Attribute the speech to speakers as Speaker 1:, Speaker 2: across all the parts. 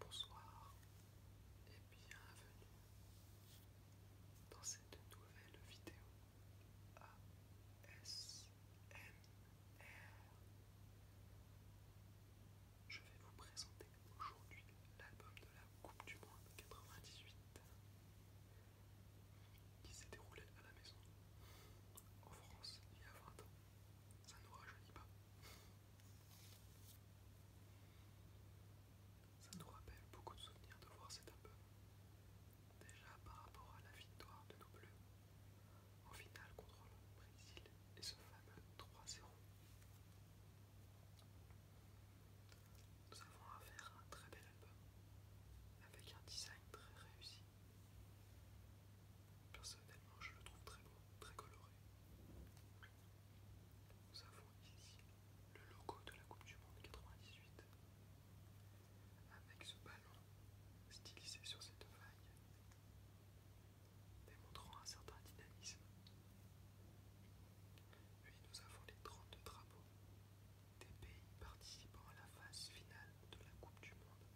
Speaker 1: Bonsoir et bienvenue dans cette nouvelle vidéo ASMR. Je vais vous présenter aujourd'hui l'album de la Coupe du Monde 98 qui s'est déroulé à la maison en France il y a 20 ans. Ça nous rajeunit pas. Ça nous rappelle beaucoup de souvenirs de voir cet album. Déjà par rapport à la victoire de nos bleus en finale contre le Brésil et ce fameux 3-0. Nous avons affaire à un très bel album avec un design très réussi Personnellement, je le trouve très beau, très coloré. Nous avons ici le logo de la Coupe du Monde 98 avec ce ballon stylisé sur cette vague démontrant un certain dynamisme. Puis nous avons les 32 drapeaux des pays participant à la phase finale de la Coupe du Monde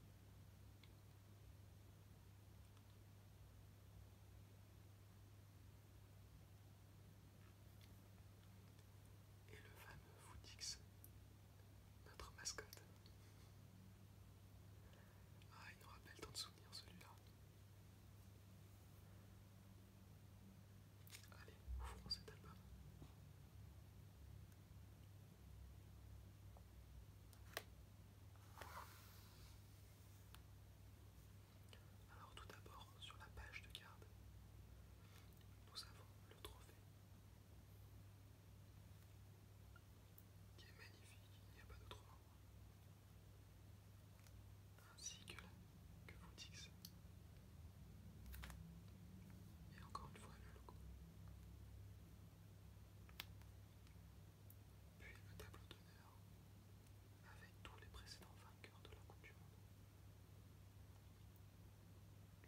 Speaker 1: et le fameux Footix, notre mascotte. Ah, il nous rappelle tant de souvenirs celui-là. Allez, ouvrons cet album. Alors tout d'abord, sur la page de garde, nous avons le trophée qui est magnifique, il n'y a pas d'autre mot, ainsi que, la, que ça. Et encore une fois le logo. Puis le tableau d'honneur avec tous les précédents vainqueurs de la Coupe du Monde.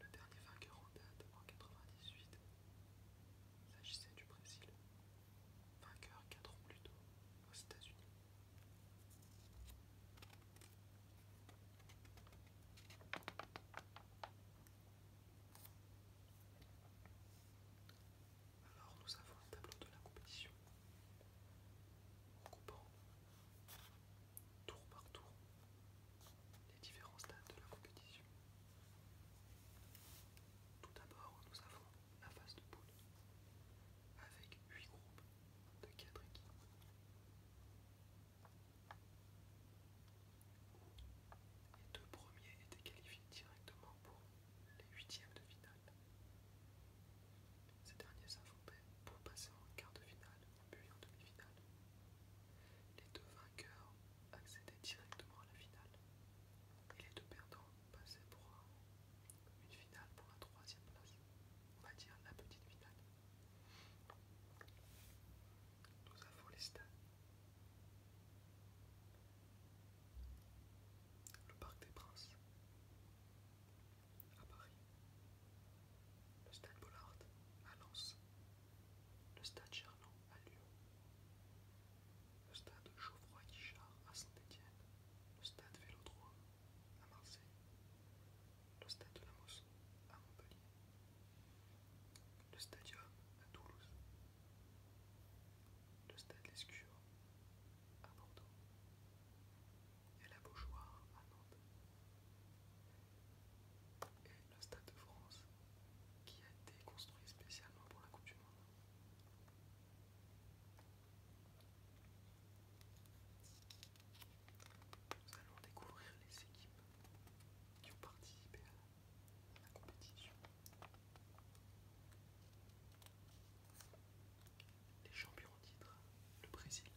Speaker 1: Le dernier vainqueur en date en 98 s'agissait du Brésil, vainqueur 4 ans plus tôt aux États-Unis. Alors nous avons un tableau de la compétition en coupant tour par tour les différents stades de la compétition. Tout d'abord, nous avons la phase de poule avec 8 groupes de 4 équipes. Les deux premiers étaient qualifiés directement pour les huitièmes de finale. Ces derniers s'affrontaient pour passer en quart de finale, puis en demi-finale. Les deux vainqueurs accédaient directement à la finale. Et les deux perdants passaient pour une finale pour la troisième place, on va dire la petite finale. Nous avons les stades. Le Parc des Princes à Paris. Le Stade Bollard à Lens. Le Stade Gerland à Lyon. Le Stade Geoffroy-Guichard à Saint-Étienne. Le Stade Vélodrome à Marseille le stade de la Mosson à Montpellier, le stadium à Toulouse, le stade Lescure à Bordeaux et la Beaujoire à Nantes et le Stade de France qui a été construit spécialement pour la Coupe du Monde. Nous allons découvrir les équipes qui ont participé à la compétition. Les champions en titre, le Brésil.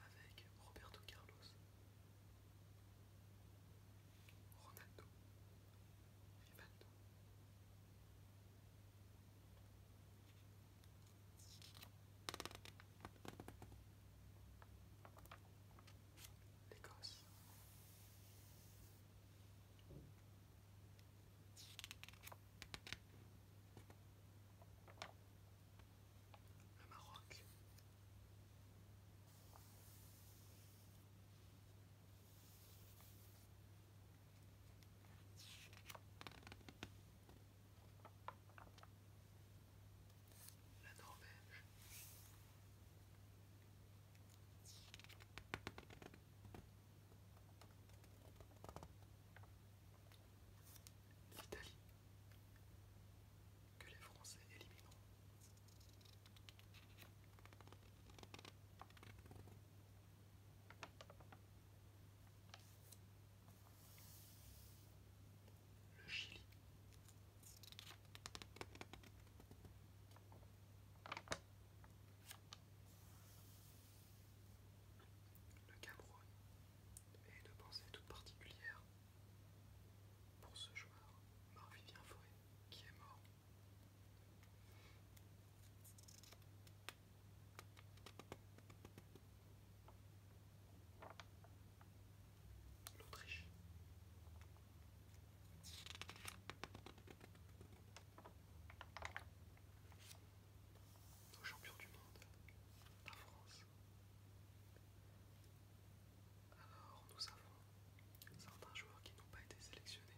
Speaker 1: Avec Roberto Carlos, Ronaldo, Rivaldo, l'Écosse. Le Maroc. La Norvège. L'Italie, que les Français élimineront. Le Chili. Le Cameroun et une pensée toute particulière pour ce joueur, Marvivien Fauré, qui est mort L'Autriche. Nos champions du monde, la France. Alors nous avons certains joueurs qui n'ont pas été sélectionnés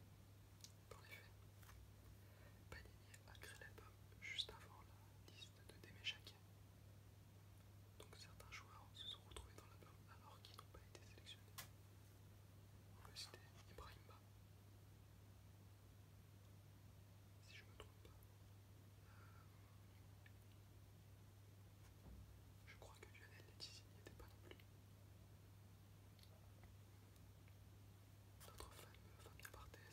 Speaker 1: dans les faits, Panini a créé l'album juste avant la liste de Démé Donc certains joueurs se sont retrouvés dans l'album alors qu'ils n'ont pas été sélectionnés. On peut citer Ibrahimba, si je me trompe pas. Euh, je crois que Lionel Letizy n'y était pas non plus notre fameux Fabien Barthez,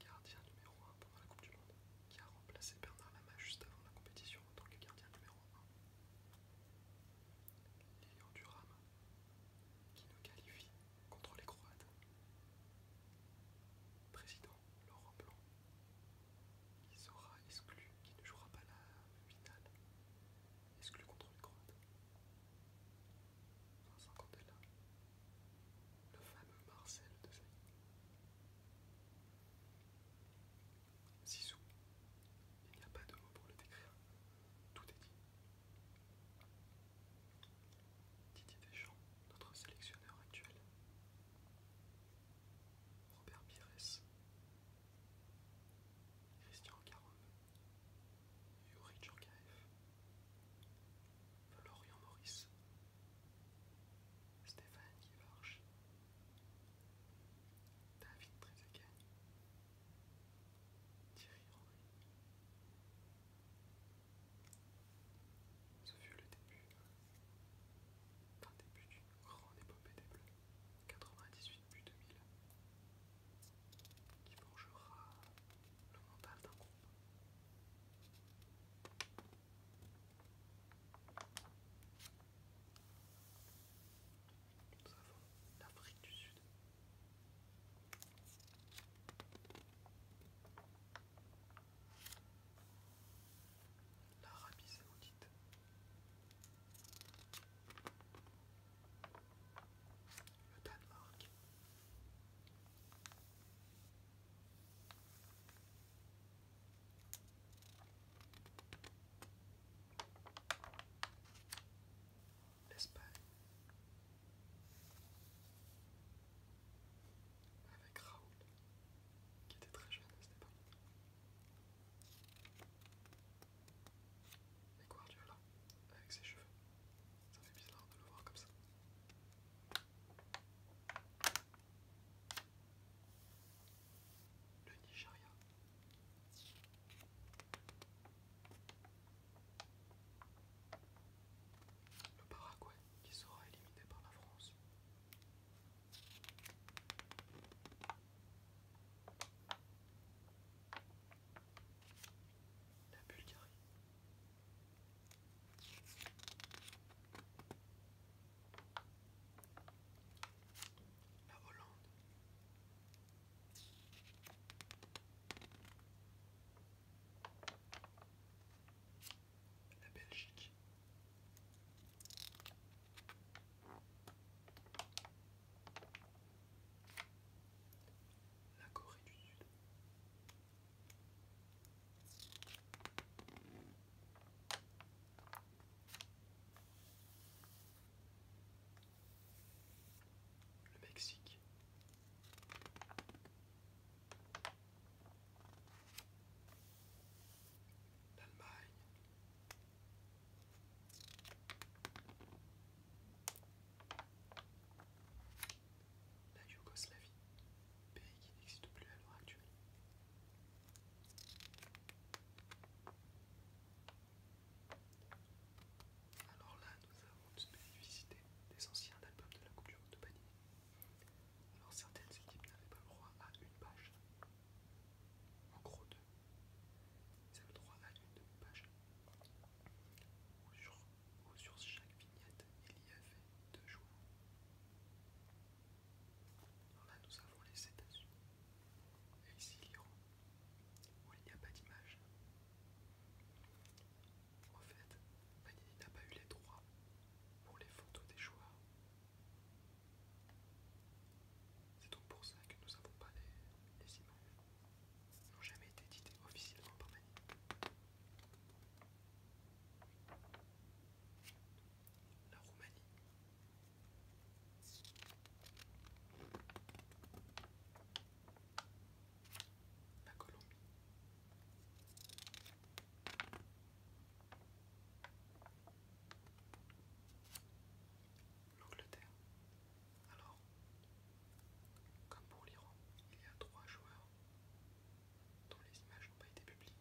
Speaker 1: gardien numéro 1 pendant la Coupe du Monde, qui a remplacé Bernard Lama juste avant la compétition en tant que gardien numéro 1. Lilian Duram, qui nous qualifie contre les Croates. Président Laurent Blanc, qui sera exclu, qui ne jouera pas la finale exclu contre les Croates. Vincent Candela. Le fameux Marcel de Saïd. Zizou, il n'y a pas de mots pour le décrire. Tout est dit. Didier Deschamps, notre sélectionneur actuel. Robert Pires, Christian Caron, Yuri Tchorkaev, Florian Maurice, Stéphane Guivarch, David Trezeguet, Thierry Henry. Ce fut le début d'un début d'une grande épopée des Bleus. 98 plus 2000 qui forgera le mental d'un groupe. Nous avons l'Afrique du Sud l'Arabie Saoudite. Le Danemark. L'Espagne. Avec Raoul, qui était très jeune à cette époque quoi Mais Et là, avec ses cheveux, ça fait bizarre de le voir comme ça. Le Nigeria. Le Paraguay qui sera éliminé par la France. La Bulgarie. La Hollande. La Belgique. La Corée du Sud. Le Mexique l'Allemagne. La Yougoslavie, pays qui n'existe plus à l'heure actuelle. Alors là, nous avons visité des anciens albums de la coupe du de Panini. Alors certaines équipes n'avaient pas le droit à une page. En gros deux. Ils avaient le droit à une demi-page. Ou sur, sur chaque vignette, il y avait deux joueurs. là, nous avons les États-Unis. Et ici l'Iran, où il n'y a pas d'image. En fait, Panini n'a pas eu les droits pour les photos des joueurs. C'est donc pour ça que nous n'avons pas les, images. Ils n'ont jamais été édités officiellement par Mani. La Roumanie. La Colombie. L'Angleterre. Alors, comme pour l'Iran, il y a trois joueurs dont les images n'ont pas été publiées.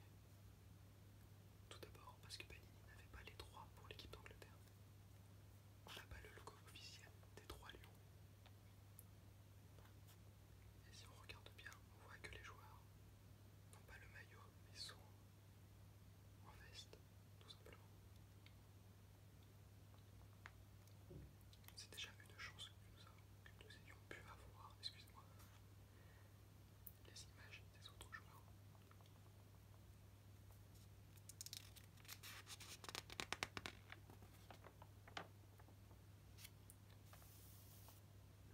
Speaker 1: Tout d'abord parce que Panini n'avait pas les droits pour l'équipe d'Angleterre. On n'a pas le logo officiel des trois lions. Et si on regarde bien, on voit que les joueurs n'ont pas le maillot mais sont en veste, tout simplement. C'est déjà une chance que nous, que nous ayons pu avoir, excusez-moi, les images des autres joueurs.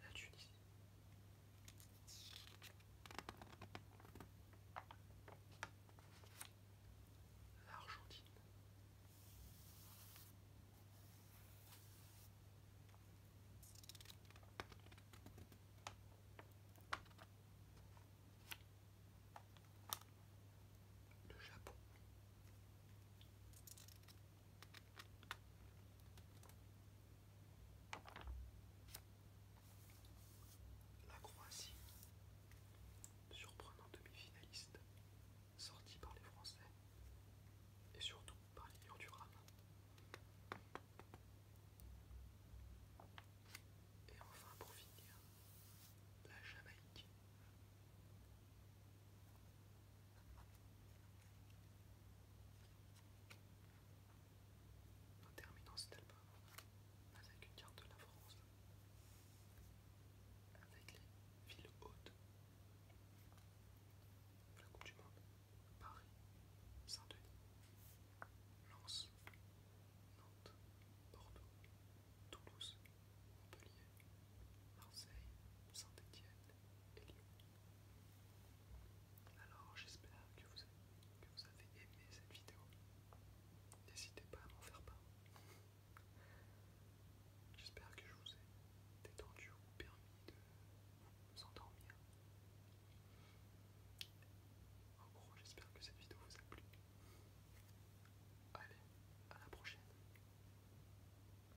Speaker 1: La Tunisie, L'Argentine. Le Japon. La Croatie, surprenant demi-finaliste, sorti par les Français et surtout par l'Union du Rame. Et enfin pour finir, la Jamaïque. En terminant cet album avec une carte de la France, avec les villes hautes, la Coupe du Monde, Paris, Saint-Denis, Lens, Nantes, Bordeaux, Toulouse, Montpellier, Marseille, Saint-Étienne et Lyon. Alors j'espère que, vous avez aimé cette vidéo. N'hésitez pas à m'en faire part. J'espère que je vous ai détendu ou permis de vous endormir. En gros, j'espère que cette vidéo vous a plu. Allez, à la prochaine.